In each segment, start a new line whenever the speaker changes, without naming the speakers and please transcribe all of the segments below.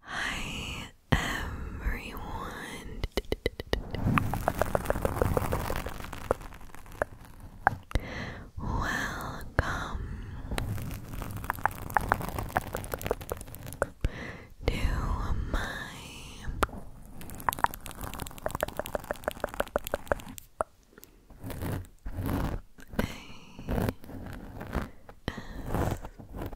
Hi everyone. Welcome to my a S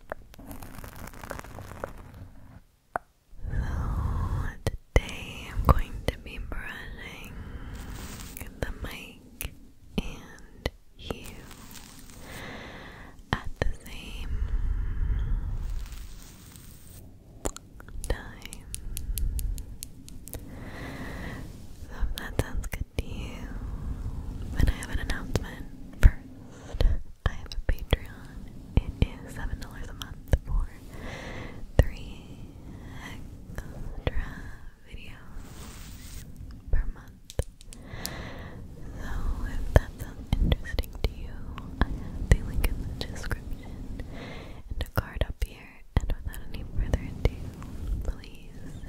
so today I'm going to be brushing the mic and you at the same time. So if that sounds good to you, then I have an announcement first. I have a Patreon. It is seven dollars a month for three extra videos per month. So if that sounds interesting to you, I have the link in the description and a card up here. And without any further ado, please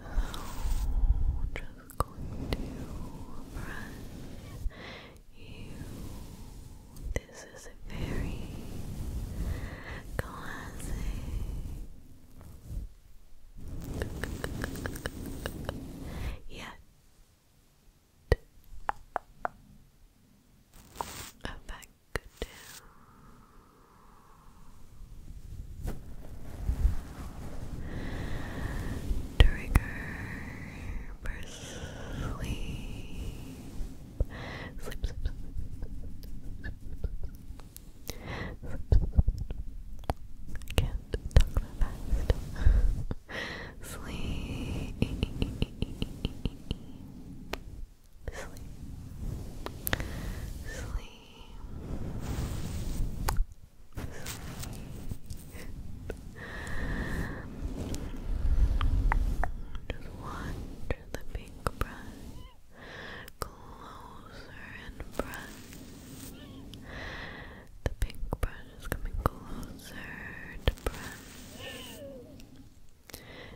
Oh, just going to brush you. This is a very classic. Yeah. Effective Trigger for sleep. Sleep, sleep, sleep, sleep, sleep. I can't talk that fast. sleep sleep, sleep, sleep. Just watch the pink brush closer and brush. The pink brush is coming closer to brush.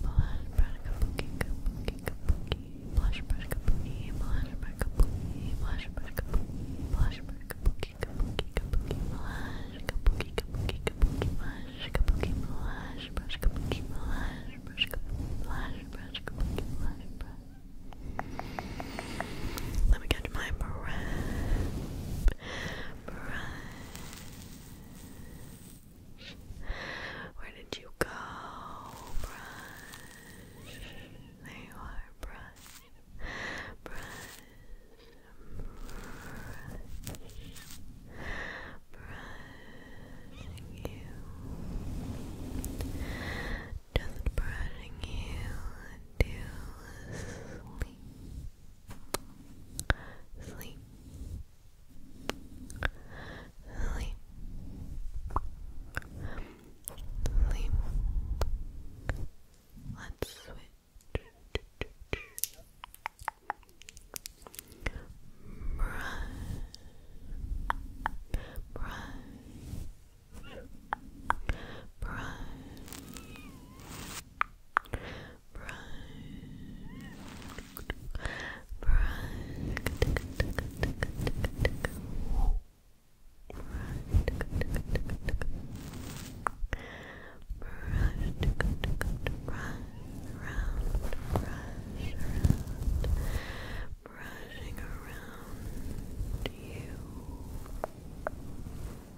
Blush, brush, kabuki, kabuki, kabuki. Blush, brush, kabuki. Blush, brush, kabuki. brush, brush, kabuki, kabuki, kabuki. Blush, kabuki, kabuki, kabuki. Blush, kabuki, brush, brush, kabuki, brush, brush. Let me catch my breath. Breath. Where did you go, brush? There are, brush, brush, brush, brushing just brushing you to sleep, sleep, sleep. Let's switch. Brush, brush, brush, brushing around you brushing around just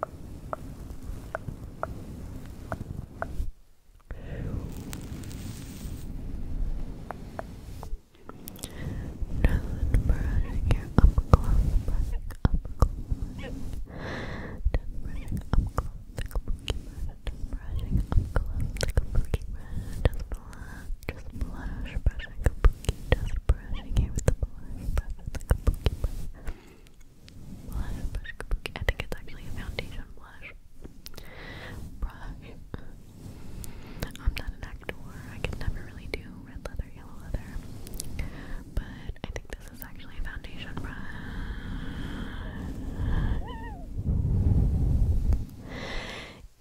brushing your up close, brushing up just brushing up
close the kabuki brush, just brushing up close just blush, just blush, brushing just brushing here with the blush, brushing the Blush, brush, kabuki. I think it's actually a foundation blush. Brush. I'm not an actor. I could never really do red leather, yellow leather. But I think this is actually a foundation brush.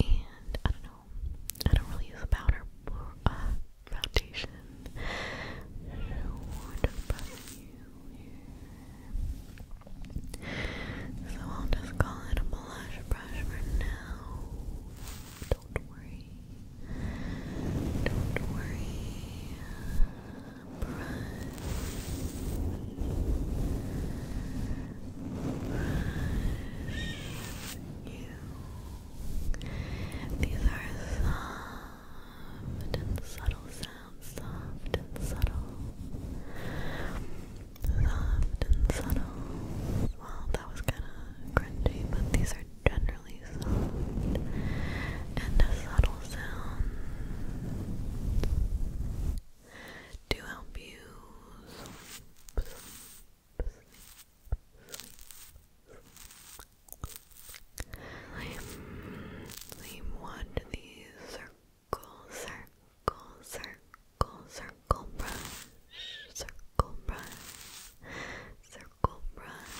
And I don't know. I don't really use a powder. Uh, foundation short above you So I'll just call it a blush brush for now. Don't worry. Don't worry. Brush. Brush you these are soft and subtle sounds, soft and subtle. Soft and subtle. Well, that was kind of cringy, but these are generally soft and subtle sounds to help you sleep, sleep, what the circle, circle, circle, brush, circle brush, circle brush,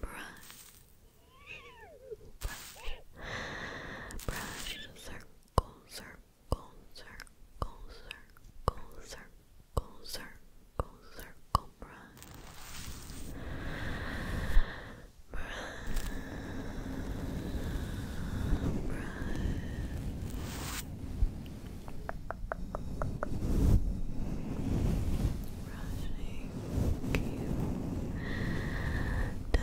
brush, brush, brush, circle, circle, circle, circle, circle circle, circle, circle, brush, brush, Rushing you to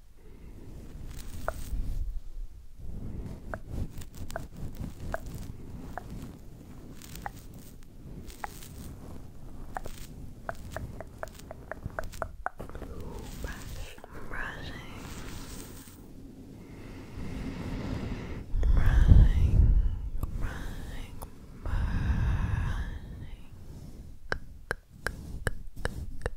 Brush, brushing, brushing, brushing, brushing.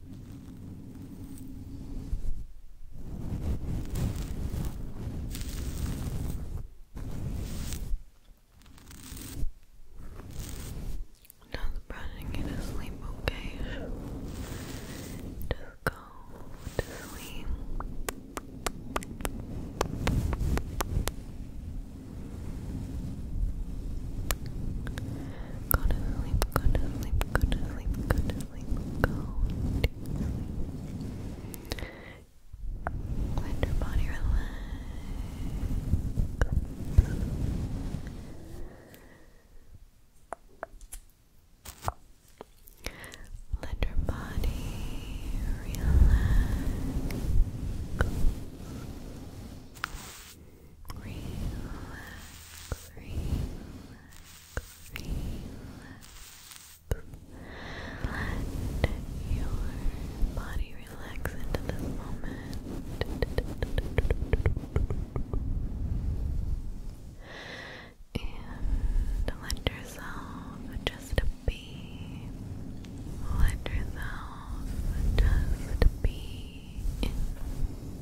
Just brushing you to sleep, okay? Just go to sleep. Go to sleep, go to sleep, go to sleep, go go to sleep. Let your body relax. Let your body relax relax, relax, relax. Let your body relax into this moment. And let yourself just be. Let yourself just be in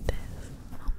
this moment.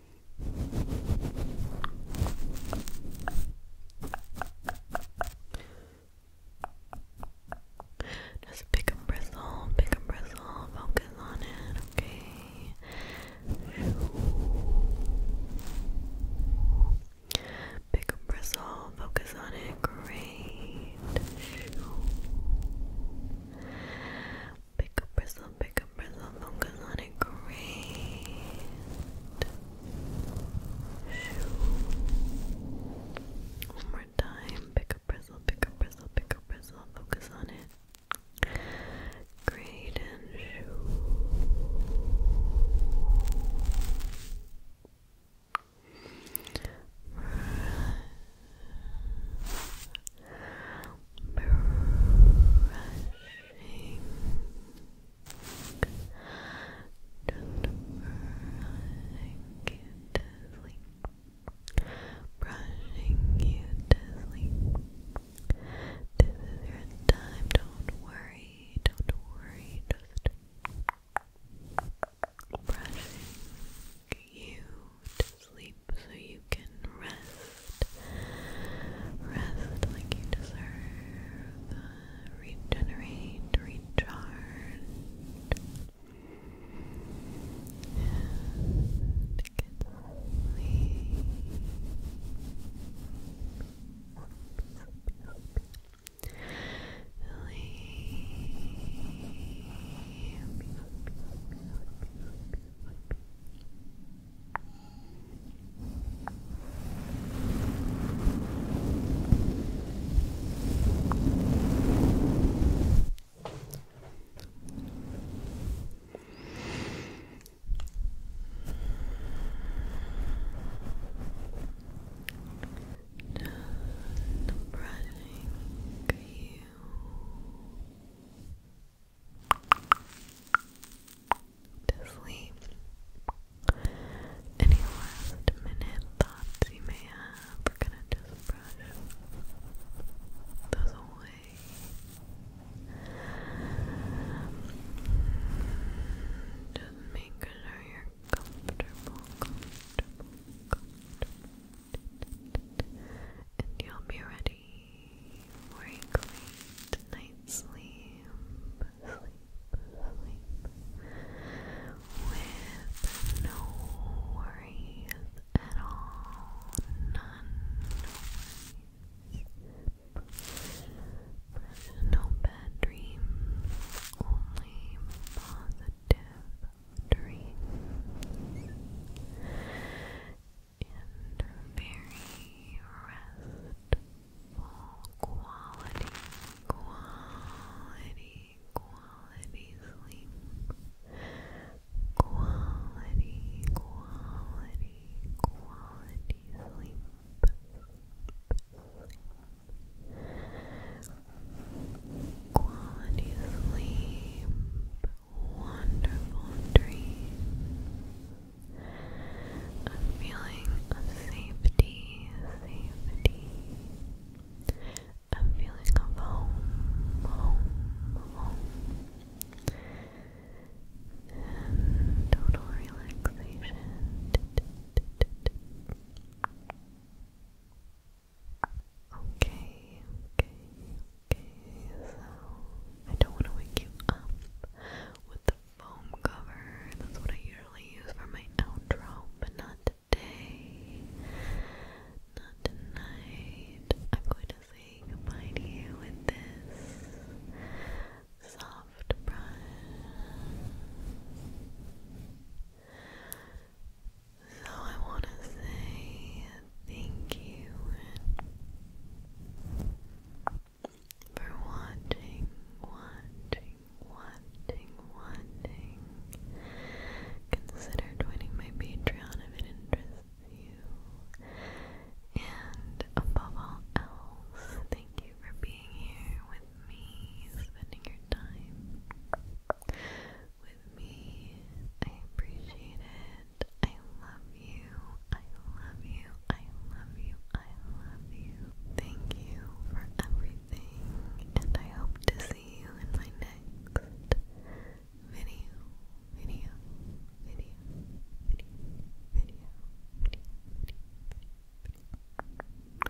Just pick a bristle, pick a bristle, focus on it, okay? Pick a bristle, focus on it, great. Pick a bristle, pick a bristle, focus on it, great. One more time, pick a bristle, pick a bristle, pick a bristle, focus on it. Great and shoo brushing just brushing you to sleep brushing you to sleep this is your time, don't worry, don't worry, just brushing you to sleep so you can rest. Rest like you deserve. regenerate, recharge. And get sleep. Sleep. Just brushing you to sleep. Any last minute thoughts you may have, we're gonna just brush those away. Just make sure you're comfortable, comfortable, comfortable. And you'll be ready ready for a great night's sleep. Sleep, sleep. With no worries at all. None. No No bad dreams. Only positive dreams and very restful quality, quality, quality sleep. Quality, quality, quality sleep. Quality sleep wonderful dream. A feeling of safety, safety. A feeling of home, home, home. And total relaxation. Okay, okay, okay, so I don't want to wake you up with the foam cover. That's what I usually use for my outro, but not today. Not tonight. I'm going to say goodbye to you with this soft brush. So I want to say thank you for watching, watching, watching, watching. Consider joining my Patreon if it interests you. And above all else, thank you for being here with me, spending your time me. I appreciate it. I love you. I love you. I love you. I love you. Thank you for everything, and I hope to see you in my next Video. Video. Video. Video. Video.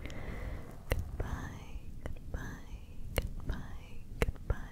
Video. Video. Goodbye. Goodbye. Goodbye. Goodbye